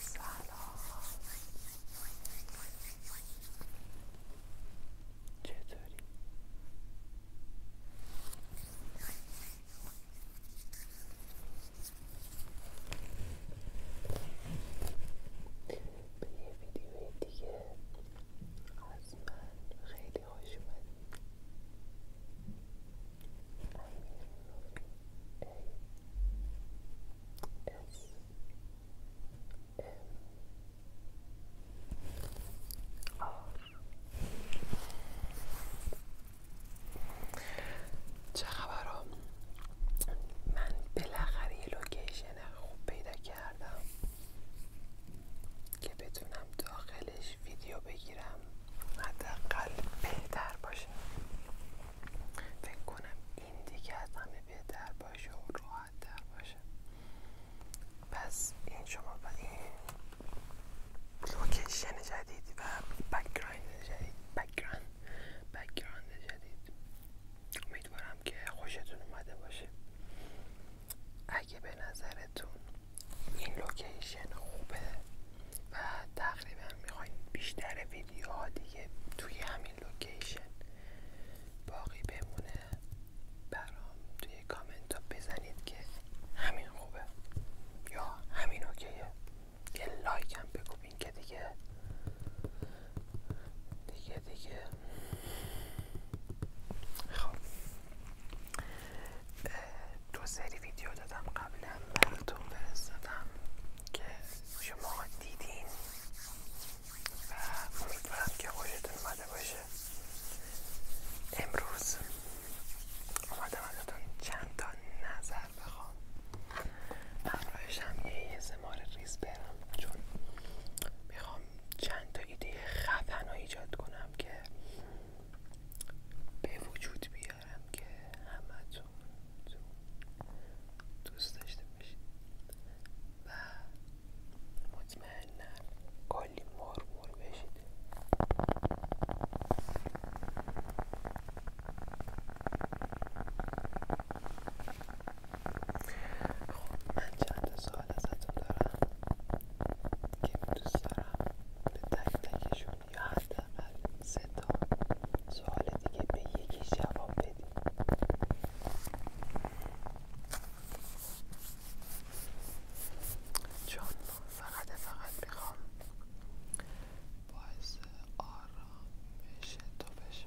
سلام چطوری؟ به یه ویدیو دیگه از من خیلی خوش اومدید چه خبرم من بالاخره یه لوکیشن خوب پیدا کردم که بتونم داخلش ویدیو بگیرم حداقل بهتر باشه فکر کنم این دیگه از همه بهتر باشه و راحت در باشه پس این شما با این لوکیشن جدید و بکگراند جدید بکگراند جدید امیدوارم که خوشتون اومده باشه اگه به نظرتون این لوکیشن خوبه و تقریبا میخواین بیشتر ها دیگه توی همین لوکیشن باقی بمونه برام توی کامنت ها بزنید که همین خوبه یا همین اوکیه یه لایک هم بگوین که دیگه دیگه دیگه خب دو سری ویدیو دادم قبلا براتون فرستادم که شما دیدین و امیدوارم که خوشتون آمده باشه امروز اومدم ازتون چند تا نظر بخوام همراهش هم یه زمار ریز برم چون میخوام چند تا ایده خفن رو ایجاد کنم که به وجود بیاد امیدوارم که تون دوست داشته باشید و مطمئنا کلی مرمور بشید خب من چند سال ازتون دارم که دوست دارم به تک تکشون یا حداقل سه تا سوال دیگه به یکی جواب بدی چون فقط فقط میخوام باعث بشه تو بشه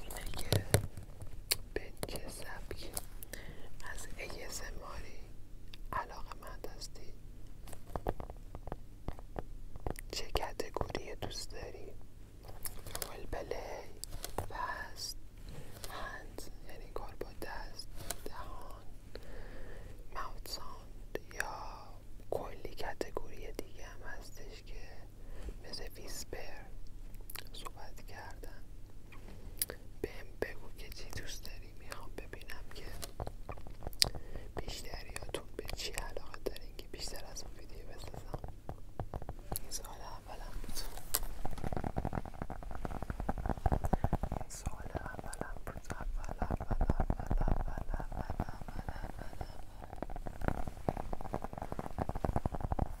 اینه که به چه سبکی از ASMRی علاقه مند هستی چه کتگوری دوست داری رول پلی بست هند یعنی کار با دست دهان ماوت یا کلی کتگوری دیگه هم هستش که مثل ویسپر صحبت کردن بهم بگو که چی دوست داریم میخوام ببینم که بیشتریاتون به چی علاقه دارین که بیشتر از اون ویدیو بسازم این سال اولم بود این سال اولم بود اول اول اول اول اول اول اول اول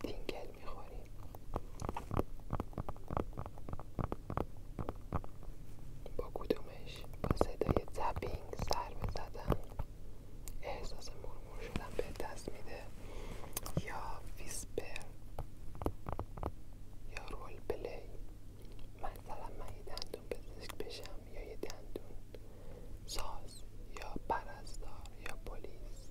تینگل میخوریم با کدومش با صدای زبینگ سر زدن، احساس مرمور شدن به دست میده یا ویسپر یا رول پلی مثلا من یه دندون پزشک بشم یا یه دندون ساز یا پرستار یا پلیس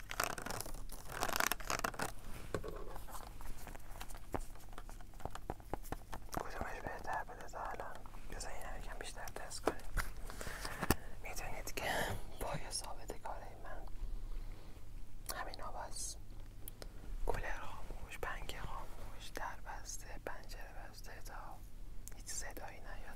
کدومش بهتر بده تا الان بذار این بیشتر دست کنید میتونید که پای ثابت کار من همین ها کلر خاموش پنگ خاموش در بسته پنجره بسته تا هیچ صدایی نیاد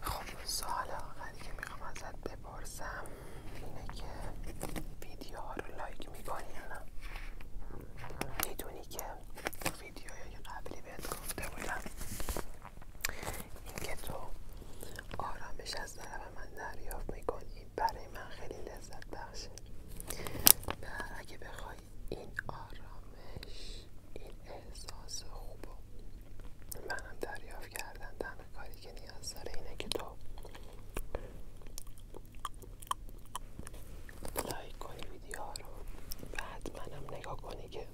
خب سوال که میخوام ازت بپرسم اینه که ها رو لایک میکنی نه میدونی که ویدیوهای قبلی بهت گفته بودم اینکه تو آرامش از طرف من دریافت میکنی برای من خیلی لذت داشت و اگه بخوای این آرامش این احساس خوب منم دریافت کردن تنها کاری که نیاز داره اینه که تو لایک کنی ویدیو رو منم نگاه کنی که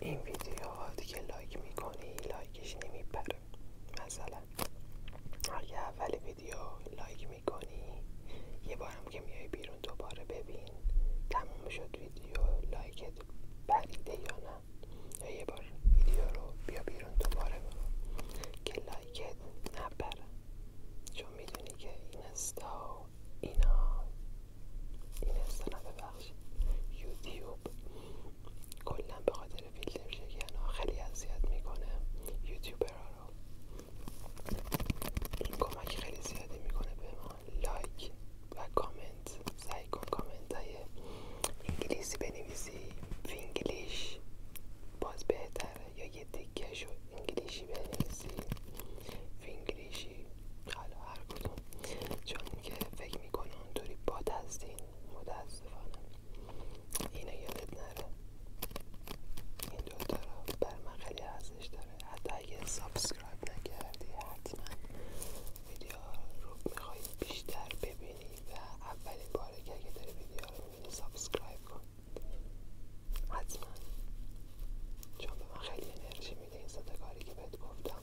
این ویدیو دیگه لایک میکنی لایکش نمیپره مثلا اگه اول ویدیو لایک میکنی یه بار هم که میای بیرون دوباره ببین تموم شد ویدیو لایکت بریده یا نه یه بار ویدیو رو بیا بیرون دوباره ببین که لایکت نپره چون میدونی که این استا اینا این استا یوتیوب کلا به خاطر فیلتر ها خیلی اذیت میکنه ها رو این کمک خیلی زیادی میکنه به ما لایک و کامنت سعی کن کامنت های انگلیسی بنویسی فینگلیش باز بهتره یا یه تیکش انگلیشی بنویسی فینگلیشی حالا هر کدوم چون که فکر میکنه اونطوری باد هستین متاسفانه اینا یادت نره این دوتا رو بر من خیلی ارزش داره حتی اگه سابسکرایب نکردی حتما ویدیو رو میخوای بیشتر ببینی و اولین باره که اگه داری ویدیو رو میبینی سابسکرایب کن حتما چون به من خیلی انرژی میده این صداکاری که بهت گفتم